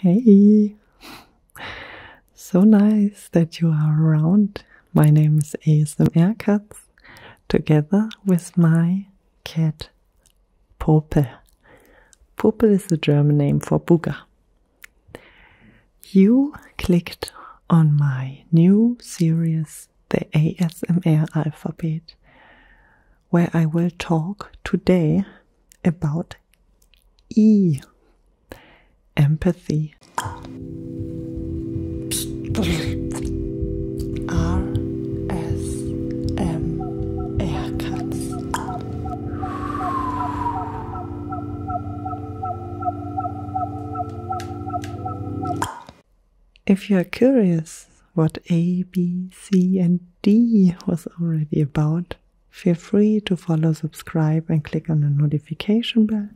Hey! So nice that you are around. My name is ASMR Cats, together with my cat Popel. Popel is the German name for Booger. You clicked on my new series, The ASMR Alphabet, where I will talk today about E. Empathy. R. S. M. Ehrgeiz. If you are curious what A, B, C, and D was already about, Feel free to follow, subscribe, and click on the notification bell.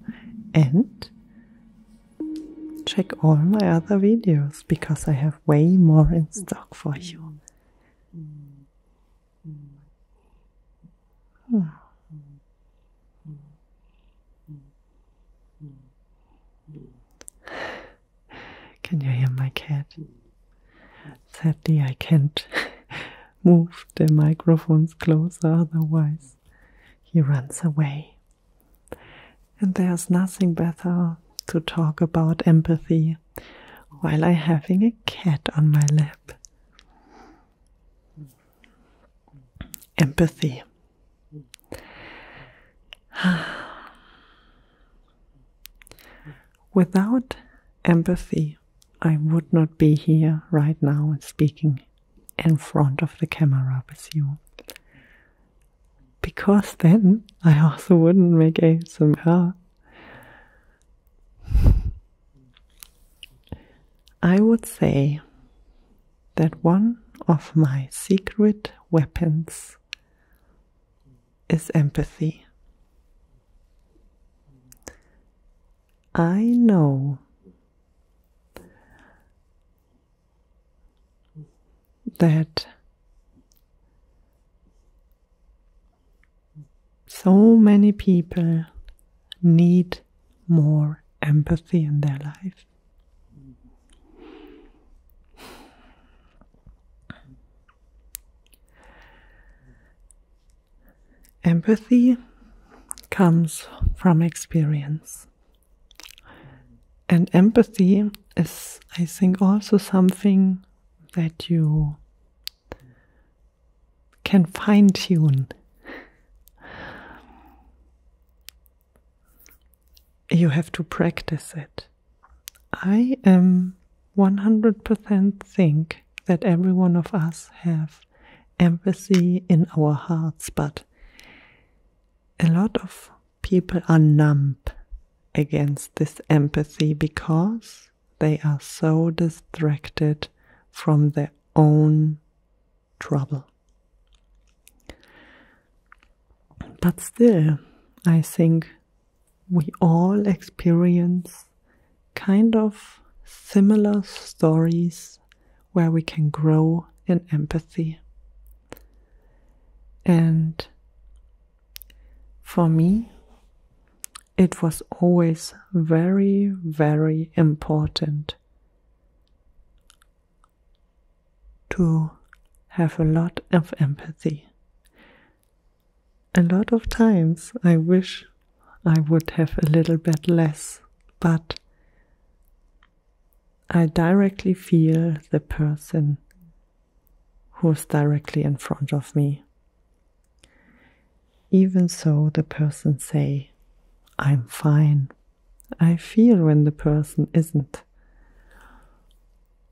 And check all my other videos because I have way more in stock for you. Hmm. Can you hear my cat? Sadly, I can't move the microphones closer, otherwise, he runs away. And there's nothing better to talk about empathy while i having a cat on my lap. Empathy. Without empathy, I would not be here right now and speaking in front of the camera with you. Because then I also wouldn't make a ASMR. I would say that one of my secret weapons is empathy. I know that so many people need more empathy in their life. Empathy comes from experience. And empathy is, I think, also something that you can fine tune. You have to practice it. I am 100% think that every one of us have empathy in our hearts, but a lot of people are numb against this empathy because they are so distracted from their own trouble. But still, I think we all experience kind of similar stories where we can grow in empathy. And for me, it was always very, very important to have a lot of empathy, a lot of times I wish I would have a little bit less, but I directly feel the person who's directly in front of me. Even so, the person say, I'm fine. I feel when the person isn't.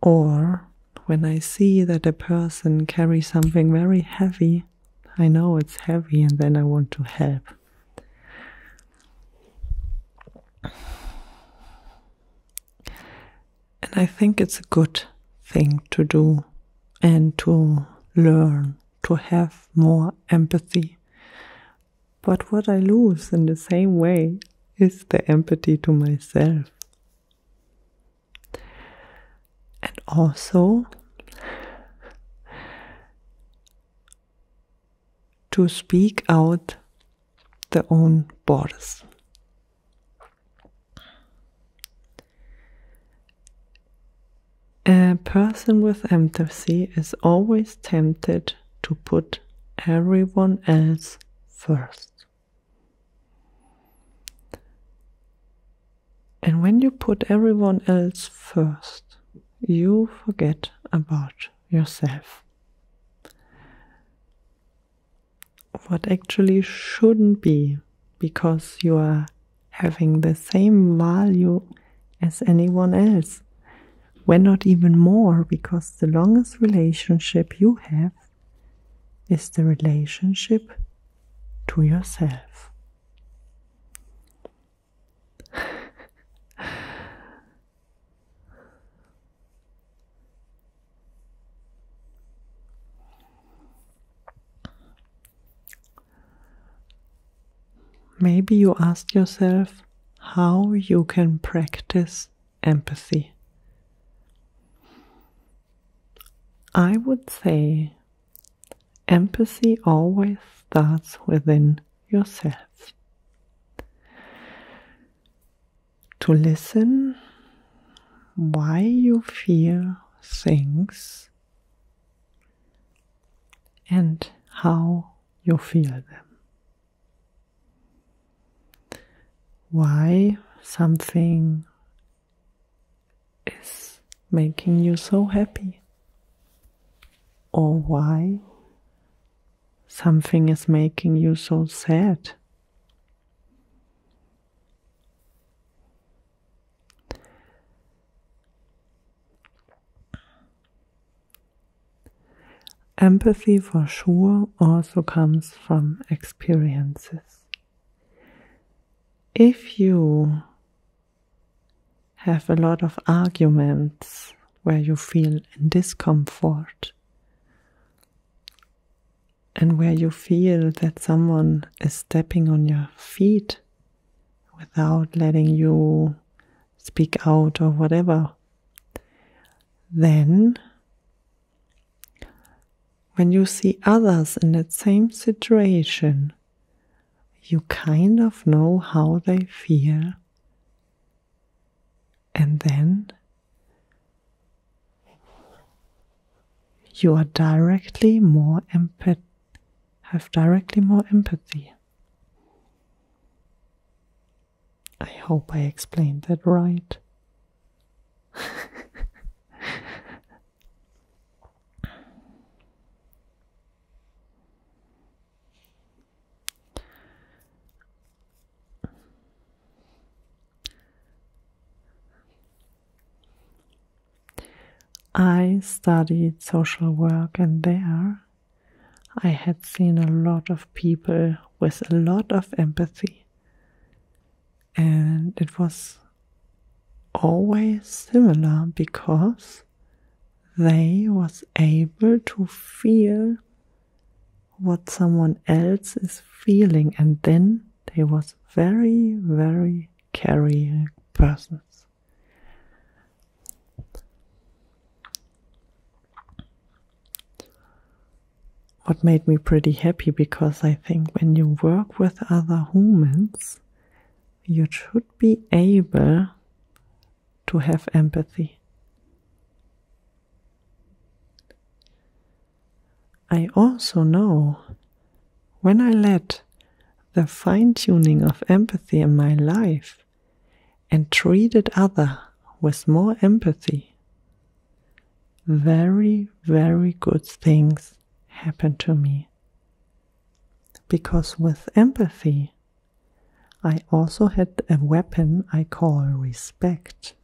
Or when I see that a person carries something very heavy, I know it's heavy and then I want to help. And I think it's a good thing to do and to learn to have more empathy. But what I lose in the same way is the empathy to myself. And also to speak out their own borders. A person with empathy is always tempted to put everyone else first. And when you put everyone else first, you forget about yourself. What actually shouldn't be, because you are having the same value as anyone else. When not even more, because the longest relationship you have is the relationship to yourself. Maybe you ask yourself how you can practice empathy. I would say empathy always starts within yourself. To listen why you feel things and how you feel them. Why something is making you so happy, or why something is making you so sad. Empathy for sure also comes from experiences. If you have a lot of arguments where you feel in discomfort and where you feel that someone is stepping on your feet without letting you speak out or whatever, then when you see others in that same situation, you kind of know how they feel. And then you are directly more empath have directly more empathy. I hope I explained that right. I studied social work, and there I had seen a lot of people with a lot of empathy and it was always similar because they was able to feel what someone else is feeling and then they was very very caring persons what made me pretty happy because I think when you work with other humans, you should be able to have empathy. I also know when I let the fine tuning of empathy in my life and treated other with more empathy, very, very good things happen to me. Because with empathy, I also had a weapon I call respect.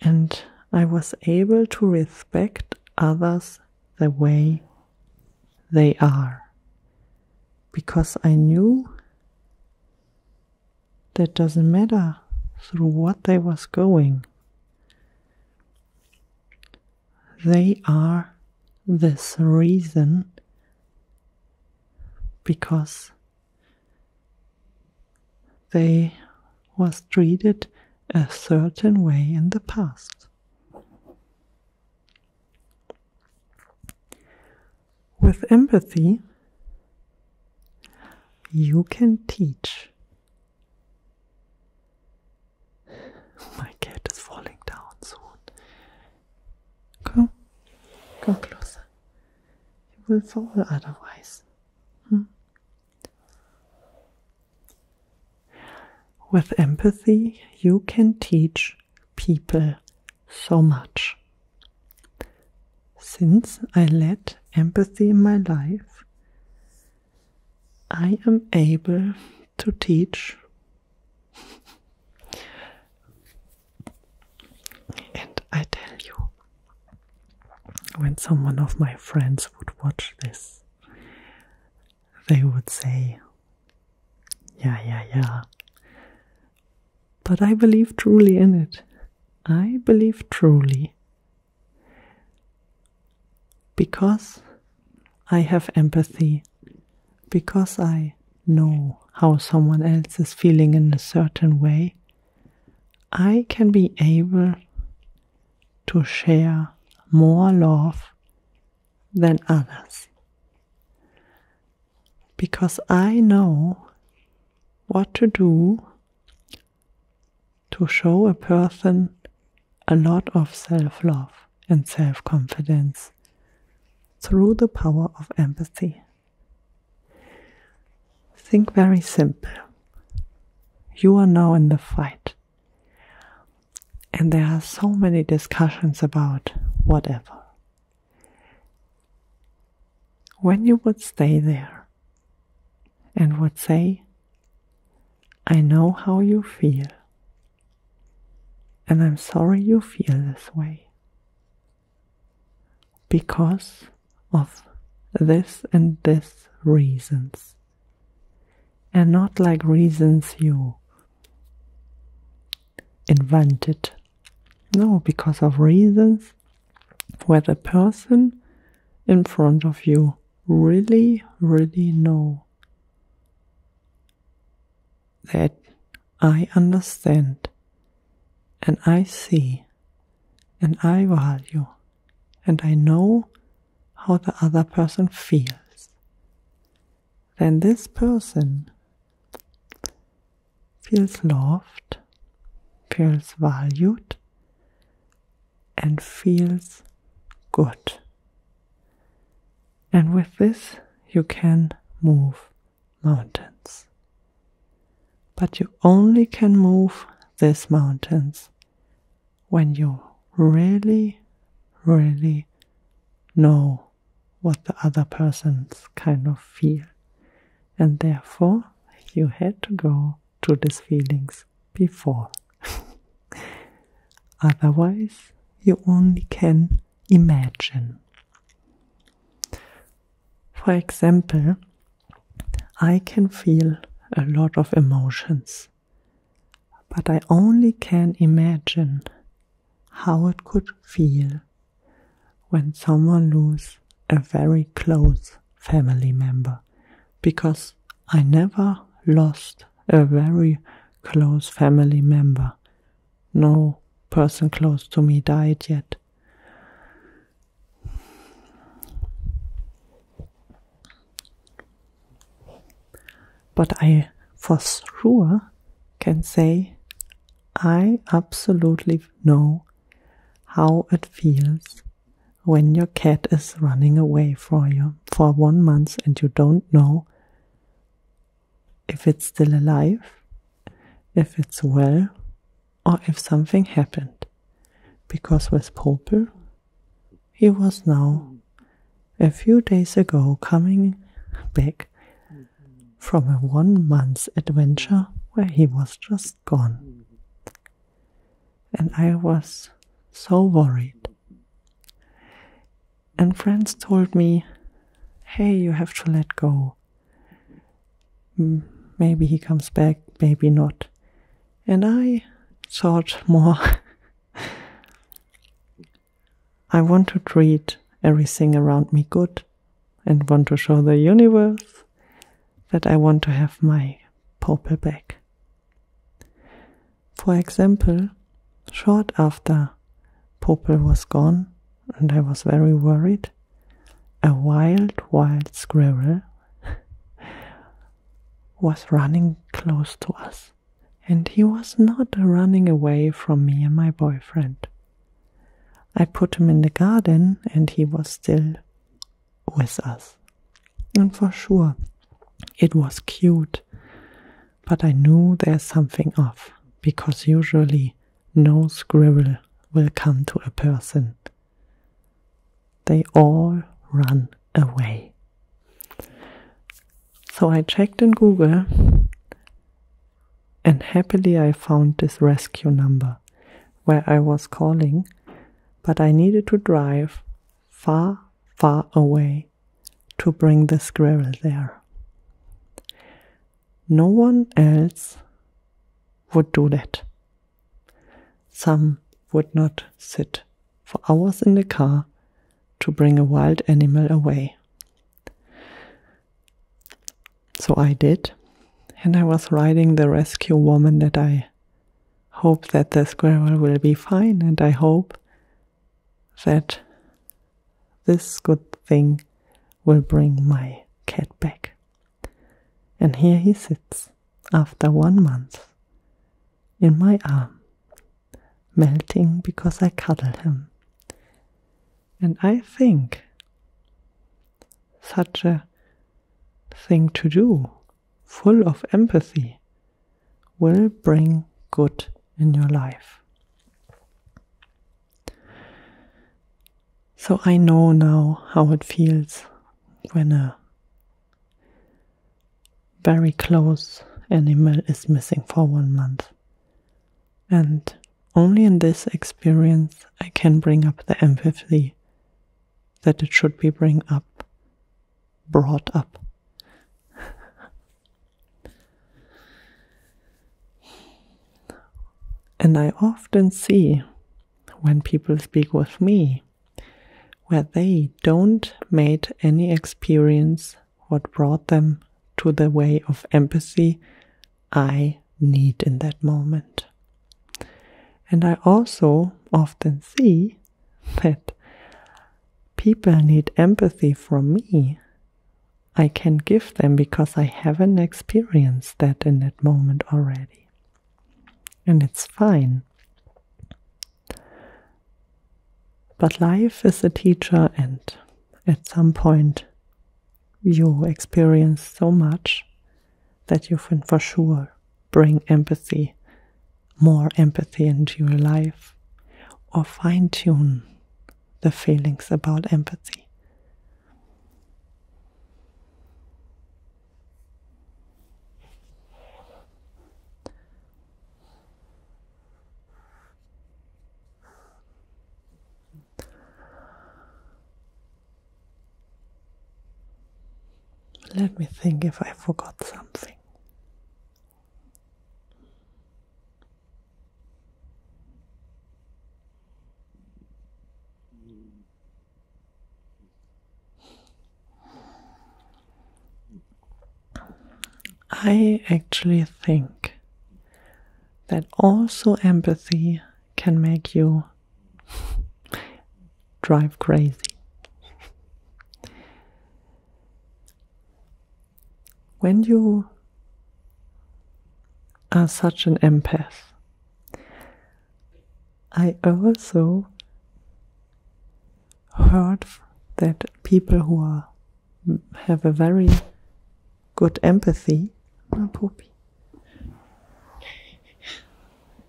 And I was able to respect others the way they are. Because I knew that doesn't matter through what they was going. They are this reason because they was treated a certain way in the past. With empathy, you can teach my cat is falling down soon. Come, come closer. You will fall otherwise. Hmm. With empathy, you can teach people so much. Since I let empathy in my life, I am able to teach and I tell you, when someone of my friends would watch this, they would say, Yeah, yeah, yeah. But I believe truly in it. I believe truly because I have empathy, because I know how someone else is feeling in a certain way, I can be able to share more love than others. Because I know what to do to show a person a lot of self love and self confidence through the power of empathy. Think very simple. You are now in the fight. And there are so many discussions about whatever. When you would stay there and would say, I know how you feel, and I'm sorry you feel this way because of this and this reasons, and not like reasons you invented. No, because of reasons where the person in front of you really, really know that I understand and I see and I value and I know how the other person feels, then this person feels loved, feels valued, and feels good. And with this, you can move mountains. But you only can move these mountains when you really, really know what the other person's kind of feel. And therefore, you had to go to these feelings before. Otherwise, you only can imagine. For example, I can feel a lot of emotions, but I only can imagine how it could feel when someone loses a very close family member because I never lost a very close family member. No person close to me died yet. But I for sure can say I absolutely know how it feels when your cat is running away for you for one month and you don't know if it's still alive, if it's well, or if something happened. Because with Popel, he was now a few days ago coming back from a one month adventure where he was just gone. And I was so worried. And friends told me, hey, you have to let go. Maybe he comes back, maybe not. And I thought more. I want to treat everything around me good and want to show the universe that I want to have my Popel back. For example, short after Popel was gone, and I was very worried, a wild, wild squirrel was running close to us, and he was not running away from me and my boyfriend. I put him in the garden, and he was still with us. And for sure, it was cute, but I knew there's something off because usually no squirrel will come to a person. They all run away. So I checked in Google and happily I found this rescue number where I was calling, but I needed to drive far, far away to bring the squirrel there. No one else would do that. Some would not sit for hours in the car to bring a wild animal away. So I did, and I was riding the rescue woman that I hope that the squirrel will be fine, and I hope that this good thing will bring my cat back. And here he sits after one month in my arm, melting because I cuddle him. And I think such a thing to do full of empathy will bring good in your life. So I know now how it feels when a very close animal is missing for one month. And only in this experience I can bring up the empathy that it should be bring up, brought up. and I often see when people speak with me where they don't made any experience what brought them to the way of empathy I need in that moment. And I also often see that people need empathy from me. I can give them because I haven't experienced that in that moment already. And it's fine. But life is a teacher, and at some point, you experience so much that you can for sure bring empathy, more empathy into your life, or fine tune the feelings about empathy. Let me think if I forgot something. I actually think that also empathy can make you drive crazy. when you are such an empath, I also heard that people who are have a very good empathy.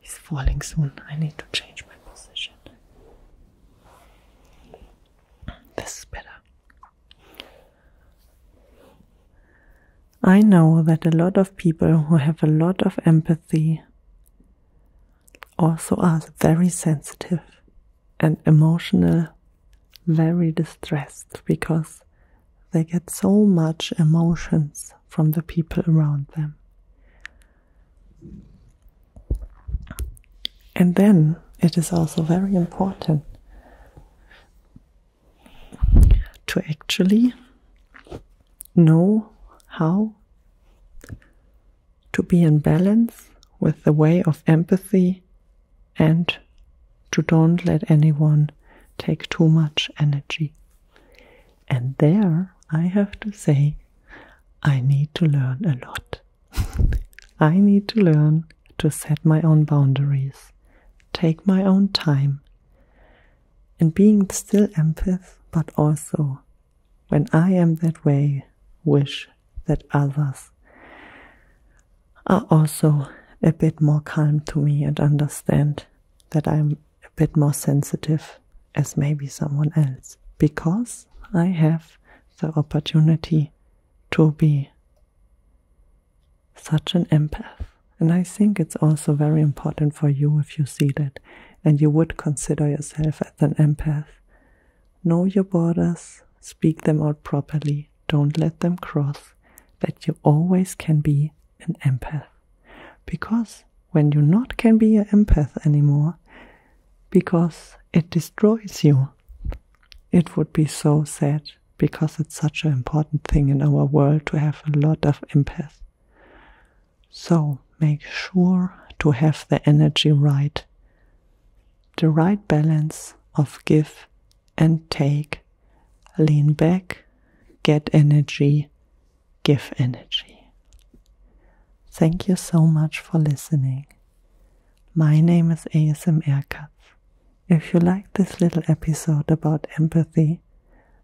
He's falling soon. I need to change my position. This is better. I know that a lot of people who have a lot of empathy also are very sensitive and emotional, very distressed because they get so much emotions from the people around them. And then it is also very important to actually know how to be in balance with the way of empathy and to don't let anyone take too much energy. And there, I have to say, I need to learn a lot. I need to learn to set my own boundaries, take my own time, and being still empath, but also when I am that way, wish that others are also a bit more calm to me and understand that I'm a bit more sensitive as maybe someone else because I have the opportunity to be such an empath. And I think it's also very important for you if you see that and you would consider yourself as an empath. Know your borders, speak them out properly, don't let them cross, that you always can be an empath. Because when you not can be an empath anymore, because it destroys you, it would be so sad because it's such an important thing in our world to have a lot of empathy. So make sure to have the energy right, the right balance of give and take. Lean back, get energy, give energy. Thank you so much for listening. My name is ASMR Katz. If you like this little episode about empathy,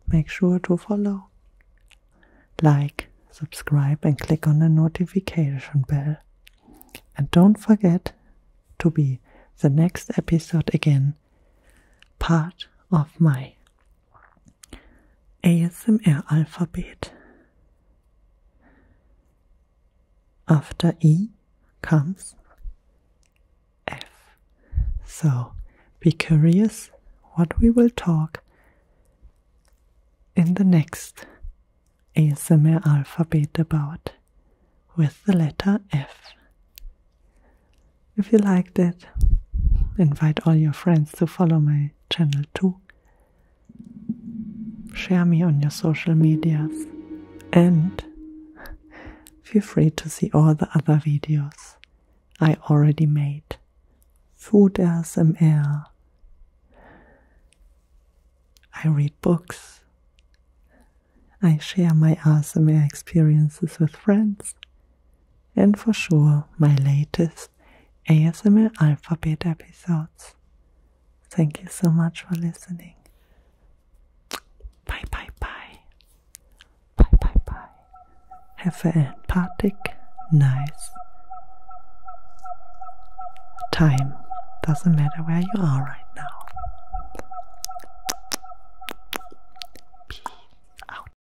make sure to follow, like, subscribe, and click on the notification bell. And don't forget to be the next episode again part of my ASMR-alphabet. After E comes F. So be curious what we will talk in the next ASMR alphabet about with the letter F. If you liked it, invite all your friends to follow my channel too. Share me on your social medias and feel free to see all the other videos I already made. Food ASMR. I read books. I share my ASMR experiences with friends and for sure my latest ASMR Alphabet episodes. Thank you so much for listening. Bye bye bye. Bye bye bye. Have a empathic, nice time. Doesn't matter where you are right now.